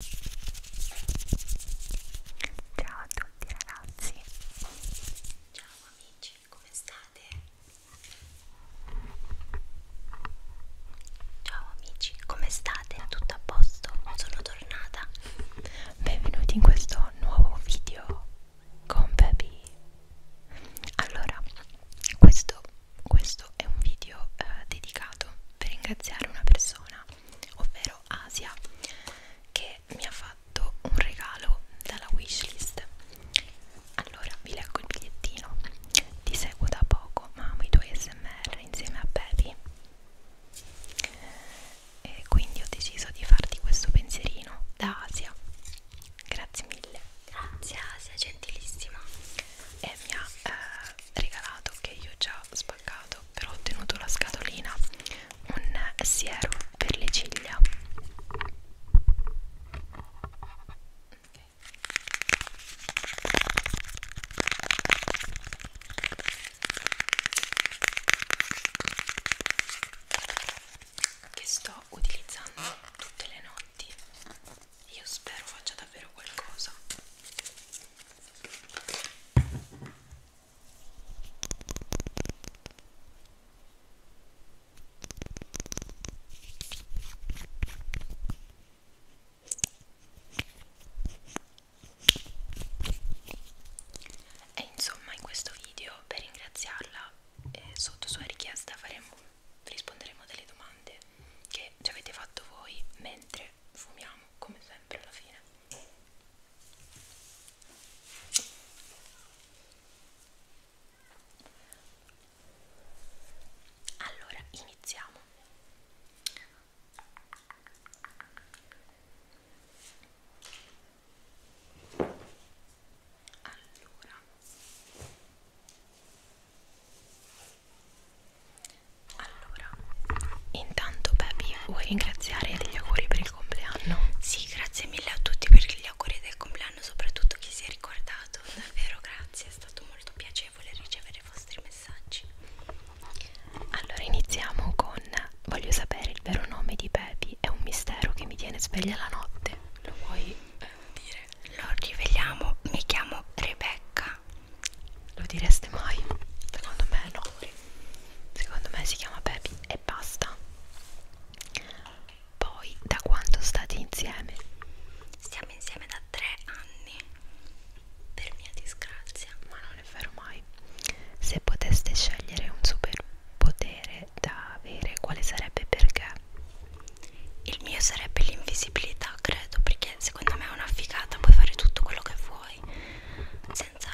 Ciao a tutti ragazzi Ciao amici, come state? Ciao amici, come state? Tutto a posto? Sono tornata Benvenuti in questo nuovo video con Baby Allora, questo, questo è un video eh, dedicato per ringraziare una persona ovvero Asia, che mi ha fatto un regalo dalla wishlist. Allora, vi leggo il bigliettino. Ti seguo da poco, ma amo i tuoi smr insieme a Pepi. E quindi ho deciso di farti questo pensierino da Asia. Grazie mille. Grazie Asia, gentilissima. E mi ha eh, regalato, che io ho già spaccato, adesso però ho ottenuto la scatolina un siero per le ciglia okay. che sto utilizzando tutte le notti io spero faccia davvero qualcosa e insomma in questo video per ringraziarla eh, sotto sua richiesta faremo risponderemo a delle domande che ci avete fatto voi mentre perché fumiamo come sempre alla fine allora iniziamo allora allora, intanto Baby, vuoi ringraziare degli auguri per il compleanno? Sì, grazie mille a tutti per gli auguri del compleanno, soprattutto chi si è ricordato, davvero grazie, è stato molto piacevole ricevere i vostri messaggi. Allora iniziamo con voglio sapere il vero nome di Baby, è un mistero che mi tiene sveglia la notte. Lo vuoi eh, dire? Lo riveliamo, mi chiamo Rebecca Raga, lo direste mai? Secondo me no. Secondo me si chiama Baby e basta. Poi, da quanto state insieme? Stiamo insieme da tre anni. Per mia disgrazia. Ma non è vero mai. Se poteste scegliere un superpotere da avere, quale sarebbe perché? Il mio sarebbe l'invisibilità libertà credo perché secondo me è una figata puoi fare tutto quello che vuoi senza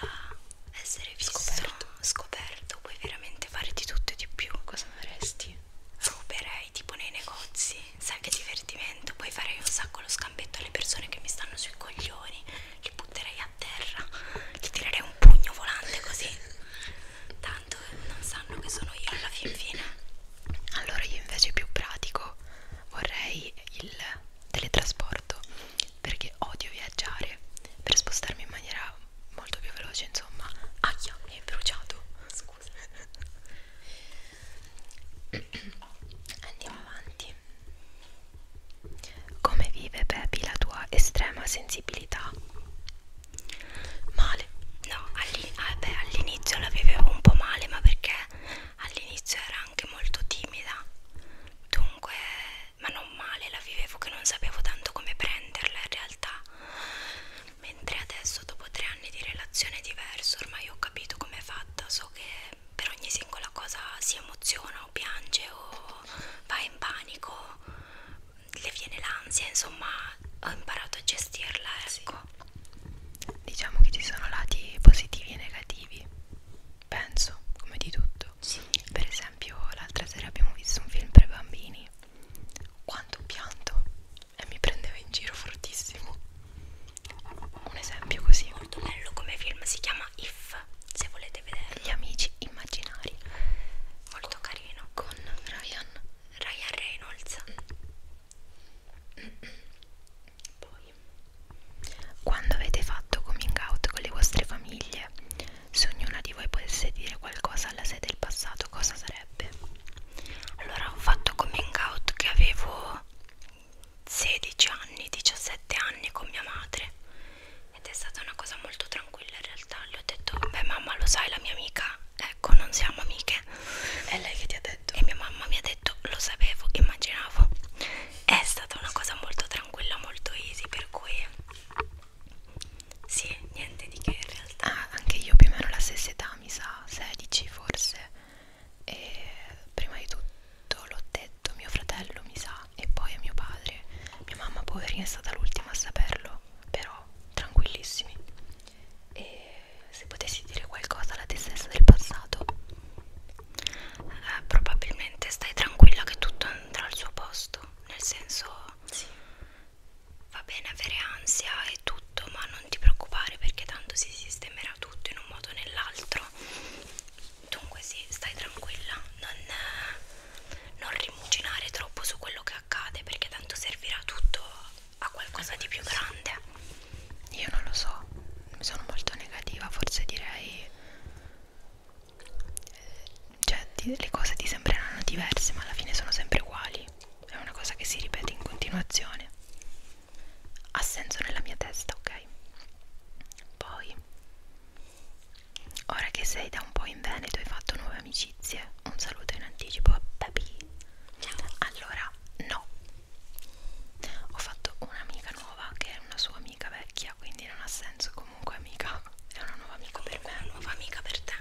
essere visto scoperto, scoperto puoi veramente fare di tutto e di più cosa faresti? ruberei tipo nei negozi sai che divertimento poi farei un sacco lo scambetto alle persone che mi stanno sui coglioni li butterei a terra gli tirerei un pugno volante così tanto non sanno che sono io alla fin fine allora io invece più pratico vorrei il teletrasporto perché odio viaggiare per spostarmi in maniera molto più veloce insomma acchia ah, mi è bruciato scusa andiamo avanti come vive Pepi la tua estrema sensibilità? Male, no, ah, all'inizio all la vivevo un po' male, ma perché all'inizio era anche molto timida dunque ma non male la vivevo che non sapevo tanto come prenderla in realtà mentre adesso dopo tre anni di relazione è diverso ormai ho capito come è fatta so che per ogni singola cosa si emoziona o piange o va in panico le viene l'ansia insomma ho imparato a gestirla ecco qua diciamo che ci sono lati positivi e negativi penso come di tutto sì. per esempio l'altra sera abbiamo visto un film per bambini quanto pianto e mi prendeva in giro fortissimo un esempio così molto bello come film si chiama If se volete vedere gli amici immaginari molto carino con Ryan Ryan Reynolds mm. Poi, quando avete fatto coming out con le vostre famiglie, se ognuna di voi potesse dire qualcosa alla sé del passato, cosa sarebbe? Allora, ho fatto coming out che avevo 16 anni, 17 anni con mia madre ed è stata una cosa molto tranquilla in realtà. Le ho detto, beh mamma lo sai, la mia amica, ecco, non siamo amiche. È lei che ti ha detto? detto. E mia mamma mi ha detto, lo sapevo, immaginavo. È stata una cosa molto tranquilla, molto easy, per cui... Sì, niente di che in realtà. Ah, anche io più o meno la stessa età, mi sa, 16 forse. E prima di tutto l'ho detto a mio fratello, mi sa, e poi a mio padre. Mia mamma poverina è stata l'ultima a saperlo, però tranquillissimi e se potessi dire qualcosa alla te stessa del passato eh, probabilmente stai tranquilla che tutto andrà al suo posto nel senso sì. va bene avere ansia e tutto ma non ti preoccupare perché tanto si sistemerà tutto in un modo o nell'altro dunque sì stai tranquilla non, eh, non rimuginare troppo su quello che accade perché tanto servirà tutto a qualcosa di più grande io non lo so sono molto negativa forse direi eh, cioè ti, le cose ti sembreranno diverse ma alla fine sono sempre uguali è una cosa che si ripete in continuazione ha senso nella mia testa ok poi ora che sei da un po' in Veneto hai fatto nuove amicizie un saluto in anticipo a Babi allora no ho fatto un'amica nuova che è una sua amica vecchia quindi non ha senso comunque amica è una nuova amica comunque per me una nuova amica per te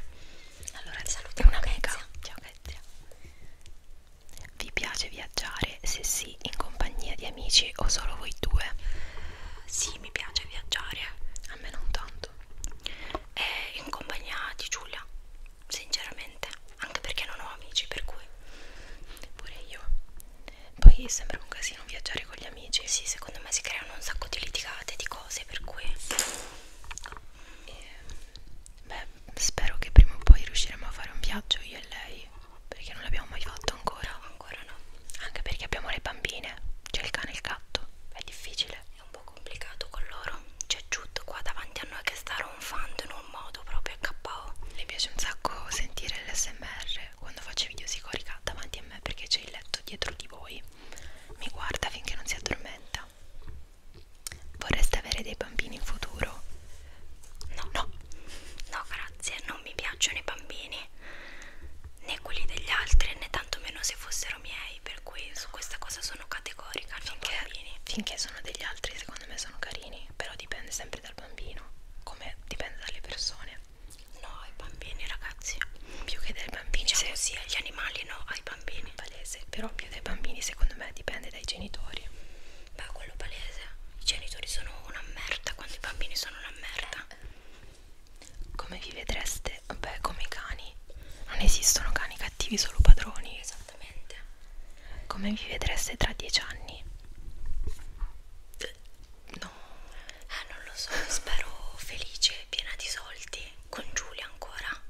allora vi saluto è un'amica ciao Kezia vi piace viaggiare? se sì in compagnia di amici o solo voi due? sì mi piace viaggiare a me non tanto e in compagnia di Giulia sinceramente anche perché non ho amici per cui pure io poi sembra un casino viaggiare con gli amici sì secondo me si creano un sacco di litigate di cose per cui e, eh, beh spero che prima o poi riusciremo a fare un viaggio io e lei perché non l'abbiamo mai fatto ancora no, ancora no anche perché abbiamo le bambine c'è il cane e il gatto è difficile è un po' complicato con loro c'è Jude qua davanti a noi che sta ronfando in un un modo proprio KO. Mi piace un sacco sentire l'SMR quando faccio video si corica davanti a me perché c'è il letto dietro di voi. Mi guarda finché non si addormenta. Vorreste avere dei bambini in futuro? No, no, no, grazie, non mi piacciono i bambini né quelli degli altri né tantomeno se fossero miei per cui su questa cosa sono categorica finché, finché sono degli altri secondo me sono carini, però dipende sempre dal bambino, come dipende dalle persone. No, ai bambini ragazzi, più che dai bambini, cioè, sì, agli animali no, ai bambini. Palese, però più dai bambini secondo me dipende dai genitori. Beh, quello palese, i genitori sono una merda quando i bambini sono una merda. Come vi vedreste? Beh, come i cani. Non esistono cani cattivi, solo padroni. Esatto esattamente come vi vedreste tra dieci anni? No, eh, non lo so. Spero felice, piena di soldi. Con Giulia ancora?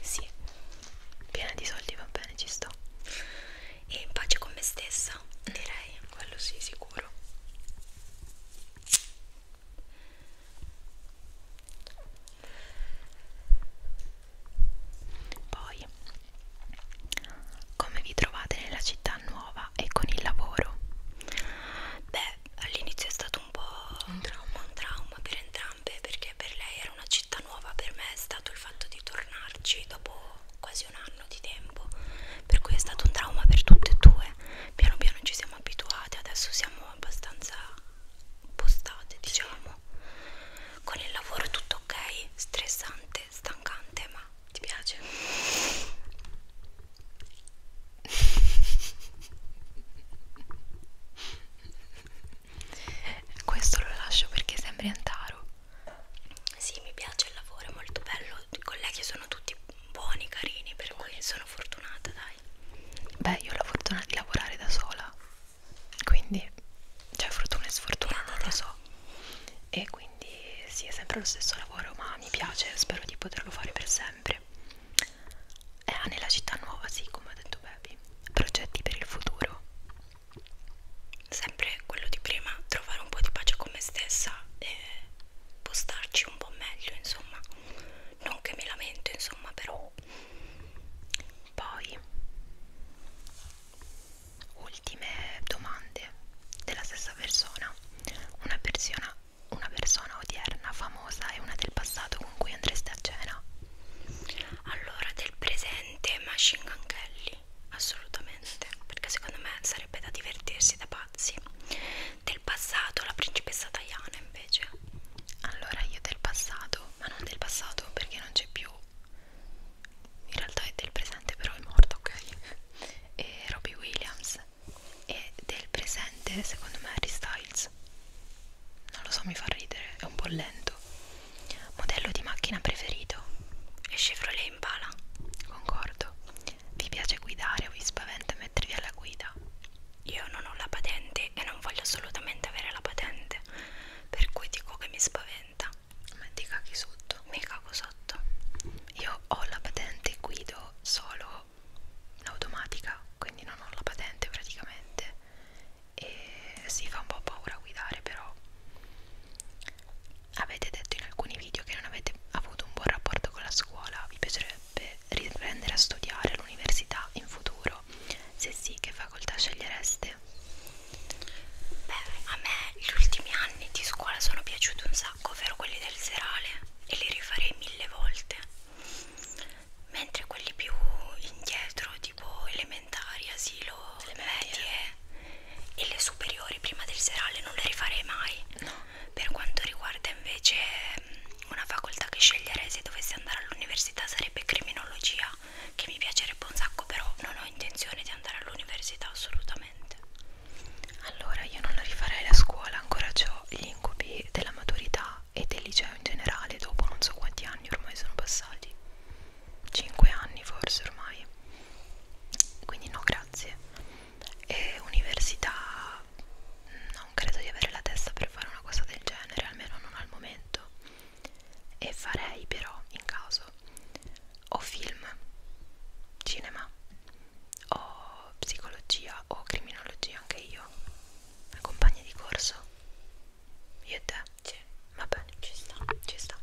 Sì, piena di soldi va bene, ci sto. E in pace con me stessa, mm. direi. Quello sì, sicuro. Poi, come vi trovate nella città nuova e con il lavoro? Beh, all'inizio è stato un po' un trauma, un trauma per entrambe perché per lei era una città nuova, per me è stato il fatto di tornarci dopo quasi un anno di tempo, per cui è stato un trauma per tutte e due. Piano piano ci siamo abituate, adesso siamo abbastanza postate diciamo sì. con il lavoro è tutto ok stressante stancante ma ti piace questo lo lascio perché sembri antaro sì mi piace il lavoro è molto bello i colleghi sono tutti buoni carini per buoni. cui sono fortunata dai beh io ho la fortuna di lavorare da sola quindi c'è cioè, fortuna e sfortuna non lo so e quindi sì è sempre lo stesso lavoro ma mi piace spero di poterlo fare per sempre e eh, nella città nuova sì come ha detto Baby progetti per il futuro sempre quello di prima trovare un po' di pace con me stessa e postarci un po' meglio insomma non che mi lamento insomma però poi ultime domande della stessa persona una persona una persona odierna famosa e una del passato con cui andreste a cena allora del presente Machine Gun Kelly assolutamente perché secondo me sarebbe da divertirsi da pazzi del passato la principessa Diana invece allora io del passato ma non del passato perché non c'è più in realtà è del presente però è morto ok e Robbie Williams e del presente secondo me Harry Styles non lo so mi fa ridere è un po' lento modello di macchina preferito è Chevrolet Impala concordo vi piace guidare o vi spaventa mettervi alla guida io non ho la patente e non voglio assolutamente avere la patente per cui dico che mi spaventa ma ti caghi sotto? mi cago sotto io ho la patente guido solo l'automatica quindi non ho la patente praticamente e si fa un po' paura guidare però avete detto in alcuni video che non avete avuto un buon rapporto con la scuola vi piacerebbe riprendere a studiare all'università in futuro loro? Se sì, che facoltà scegliereste? Beh, a me gli ultimi anni di scuola sono piaciuti un sacco, ovvero quelli del serale e li rifarei mille volte. Mentre quelli più indietro, tipo elementari, asilo, medie e le superiori prima del serale non le rifarei mai. No. Per quanto riguarda invece mm, una facoltà che sceglierei se dovessi andare all'università sarebbe criminologia, che mi piacerebbe un sacco, però non ho intenzione di andare all'università assolutamente. Allora io non la rifarei la scuola, ancora ho gli incubi della maturità e del liceo in generale, dopo non so quanti anni ormai sono passati, 5 anni forse ormai, quindi no grazie. E università, non credo di avere la testa per fare una cosa del genere, almeno non al momento. E farei però, in caso, o film, cinema, o psicologia, o criminologia anche io. Una compagna di corso. Io e te? Sì. Va bene, ci sta, ci sta.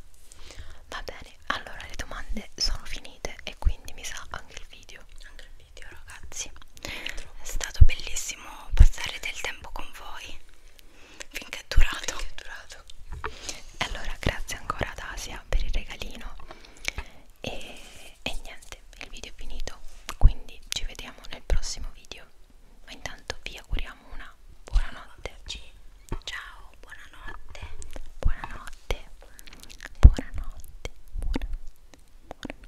Va bene, allora le domande sono finite e quindi mi sa anche il video. Anche il video, ragazzi. È stato bellissimo passare del tempo con voi finché è durato. Finché è durato. Allora, grazie ancora ad Asia per il regalino. E, e niente, il video è finito. Quindi ci vediamo nel prossimo video. Ma intanto vi auguriamo una buonanotte. Ciao, buonanotte. Buonanotte. Buonanotte. Buonanotte. buonanotte.